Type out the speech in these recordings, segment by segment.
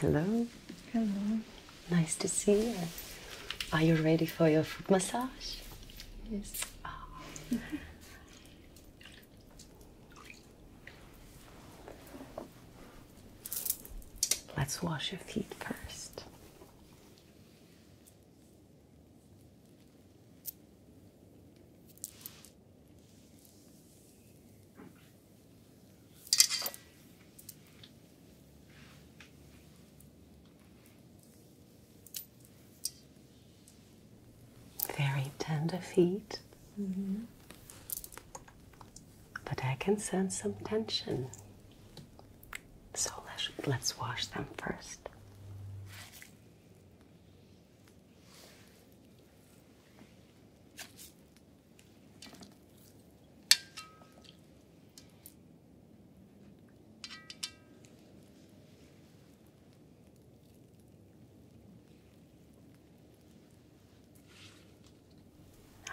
Hello. Hello. Nice to see you. Are you ready for your foot massage? Yes. Ah. Let's wash your feet first. Very tender feet, mm-hmm. but I can sense some tension so let's, let's wash them first.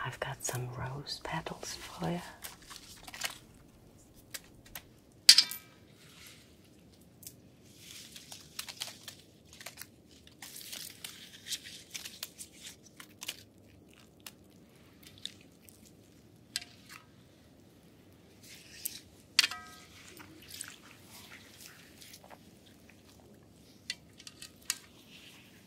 I've got some rose petals for you.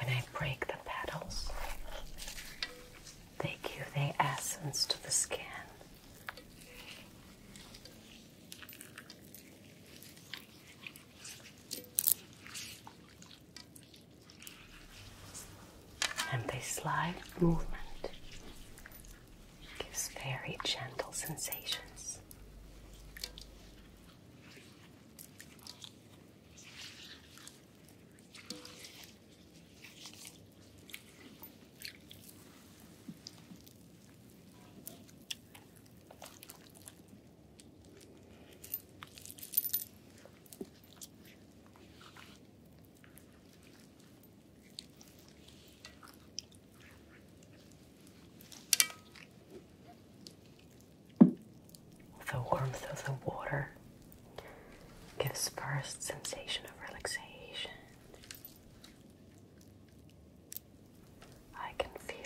When I break the petals, they give their essence to the skin and this slide movement gives very gentle sensations. The warmth of the water gives first sensation of relaxation I can feel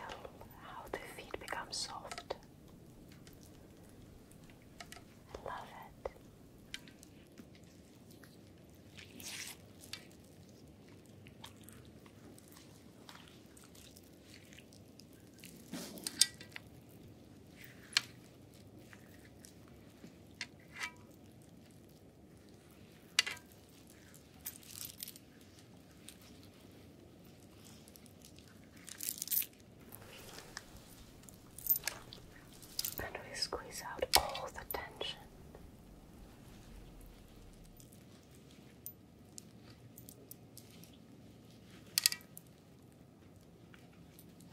how the feet become soft. I love it. And we squeeze out all the tension.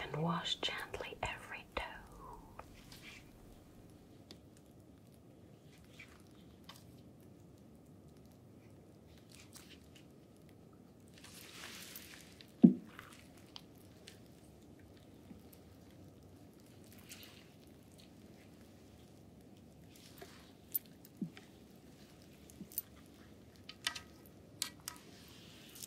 and wash gently every toe.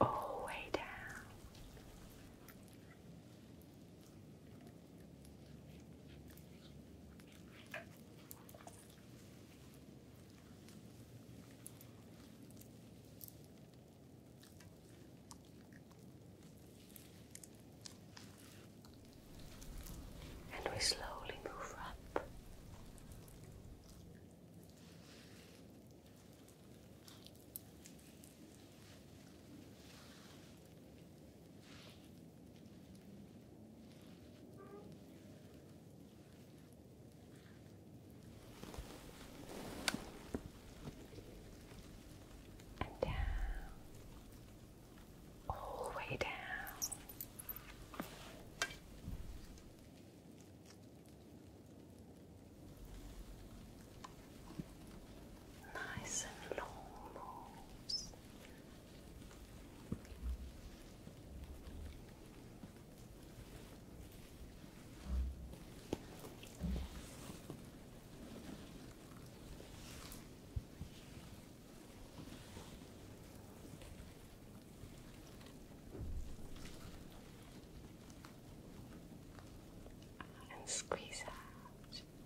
all the way down and we slowly move up and down, all the way down. Nice and long moves and squeeze out.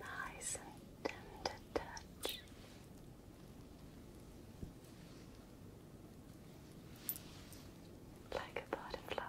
Nice and tender touch. Like a butterfly.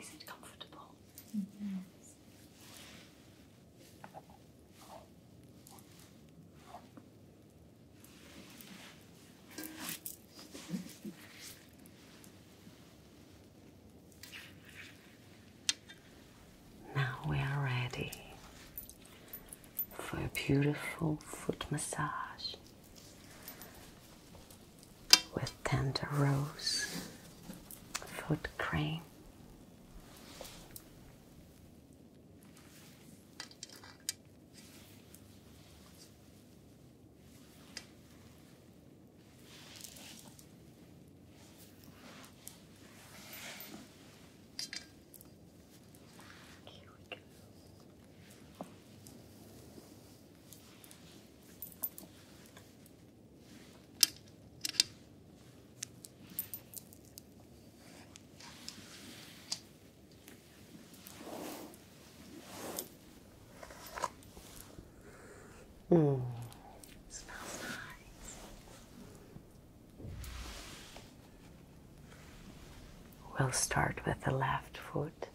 Is it comfortable? Now we are ready for a beautiful foot massage with tender rose, foot cream. Here we go. Mm. Smells nice. We'll start with the left foot.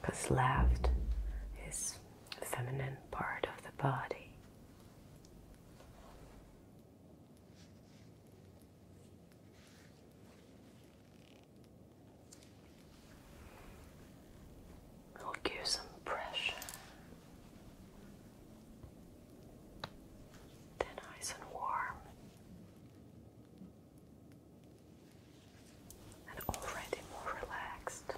Because left is the feminine part of the body. It'll give some pressure they nice and warm. And already more relaxed.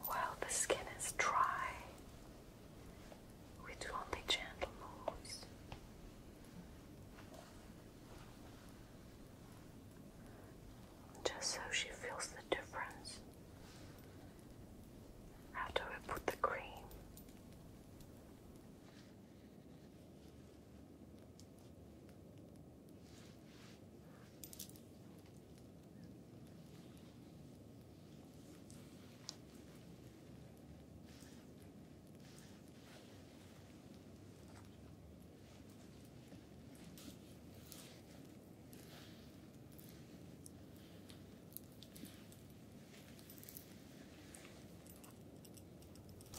While the skin is dry, we do only gentle moves just so she feels the difference. After we put the cream,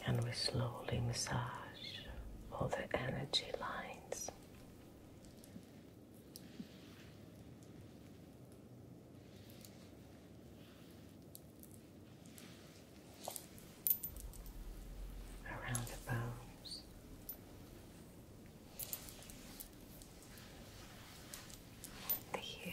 and we slowly massage all the energy lines around the bones. The heel.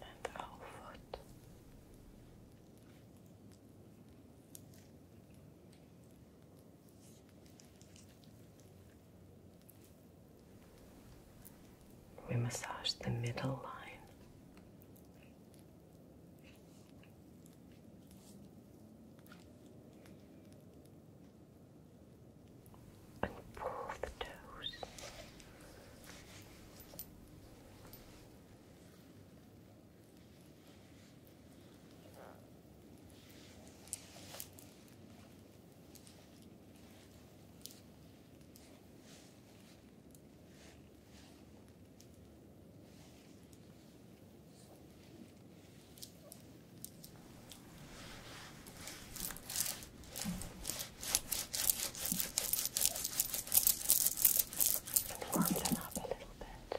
And the whole foot. We massage the middle line. And pull the toes. Warm them up a little bit.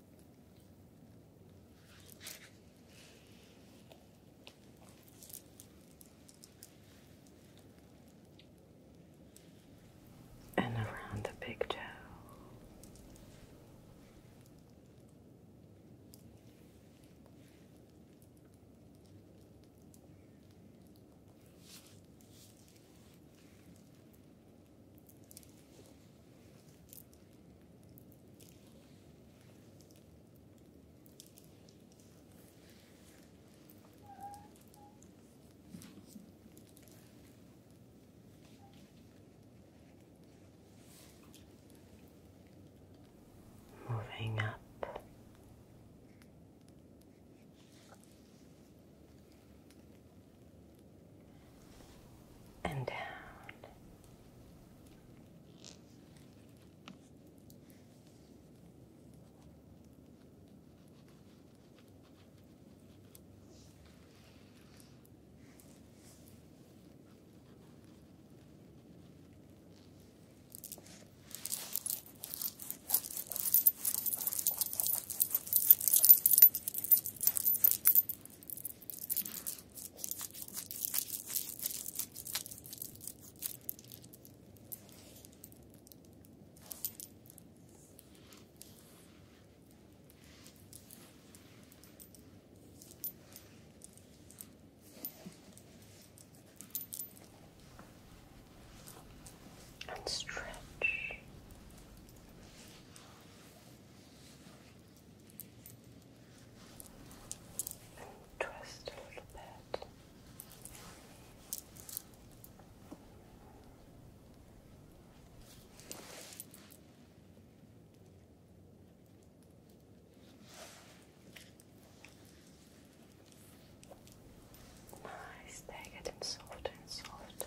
and around the big toe. Moving up and down and stretch and twist a little bit. Nice, they're getting softer and softer.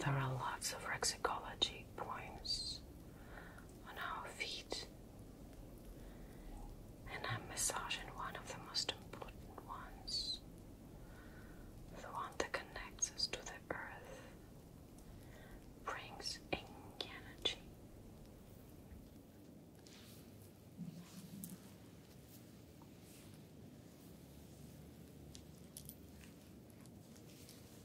There are lots of Rexicology points on our feet. And I'm massaging one of the most important ones the one that connects us to the earth, brings in energy.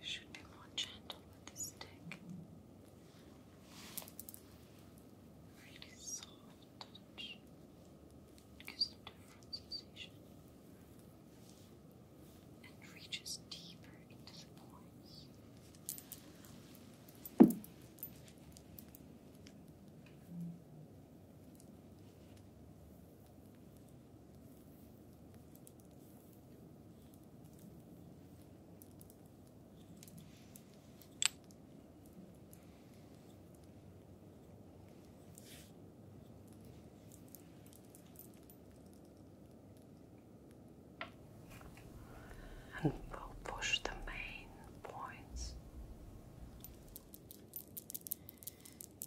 We should be more gentle with the stick. Really soft touch. gives a different sensation. And reaches deeper into the points. And we'll push the main points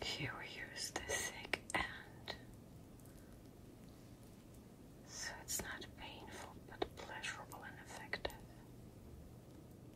Here we use the thick end so it's not painful but pleasurable and effective.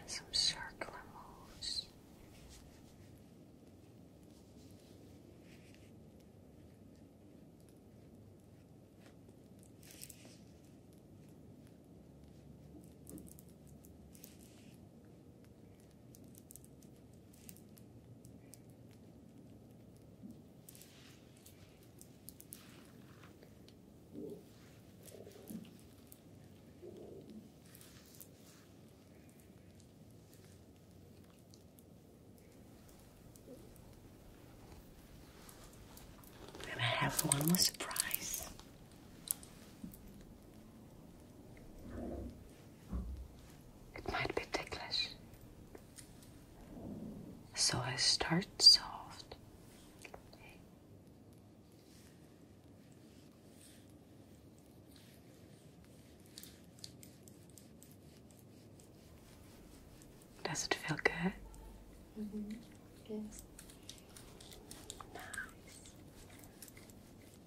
and some circular moves. And I have one more surprise. It might be ticklish. So I start soft. Does it feel good? Mm-hmm. Yes. Nice.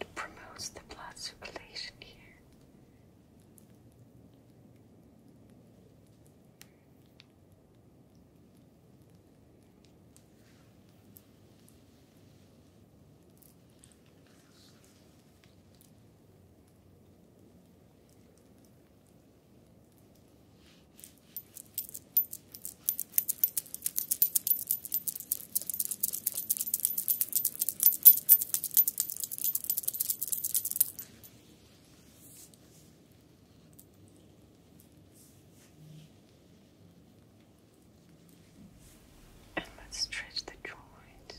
It promotes the blood circulation here. And let's stretch the joints.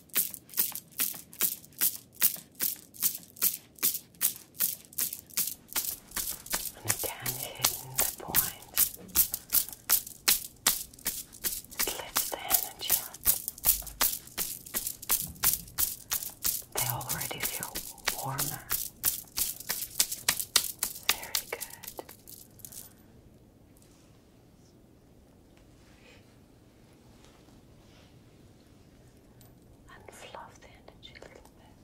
And again, hitting the point. It lifts the energy up. They already feel warmer. Very good and fluff the energy a little bit.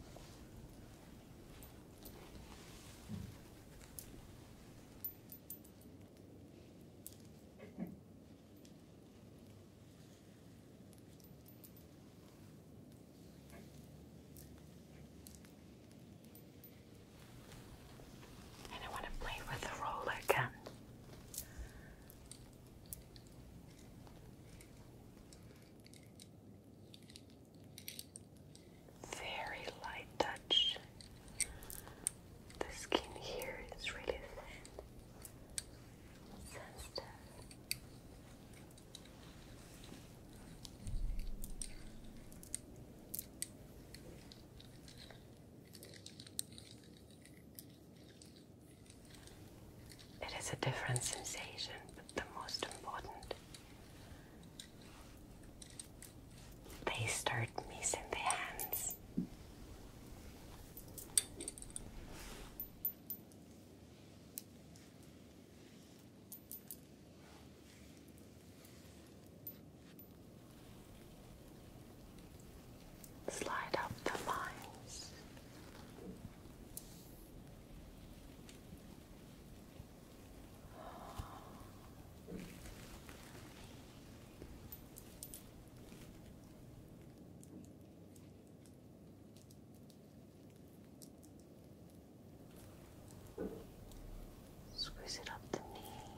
And I want to play with the roller gun. Very light touch. The skin here is really thin, sensitive. It is a different sensation, but the most important. They start missing their hands. Slide up the lines. Squeeze it up the knee.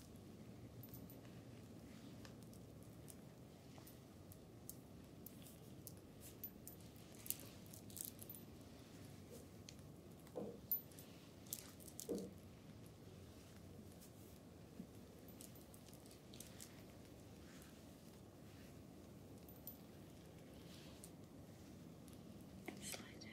And slide down.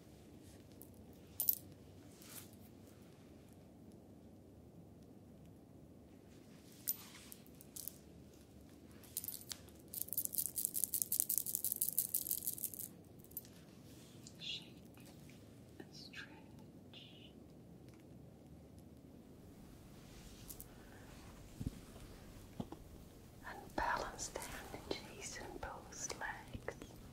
Shake and stretch. And balance the energies in both legs.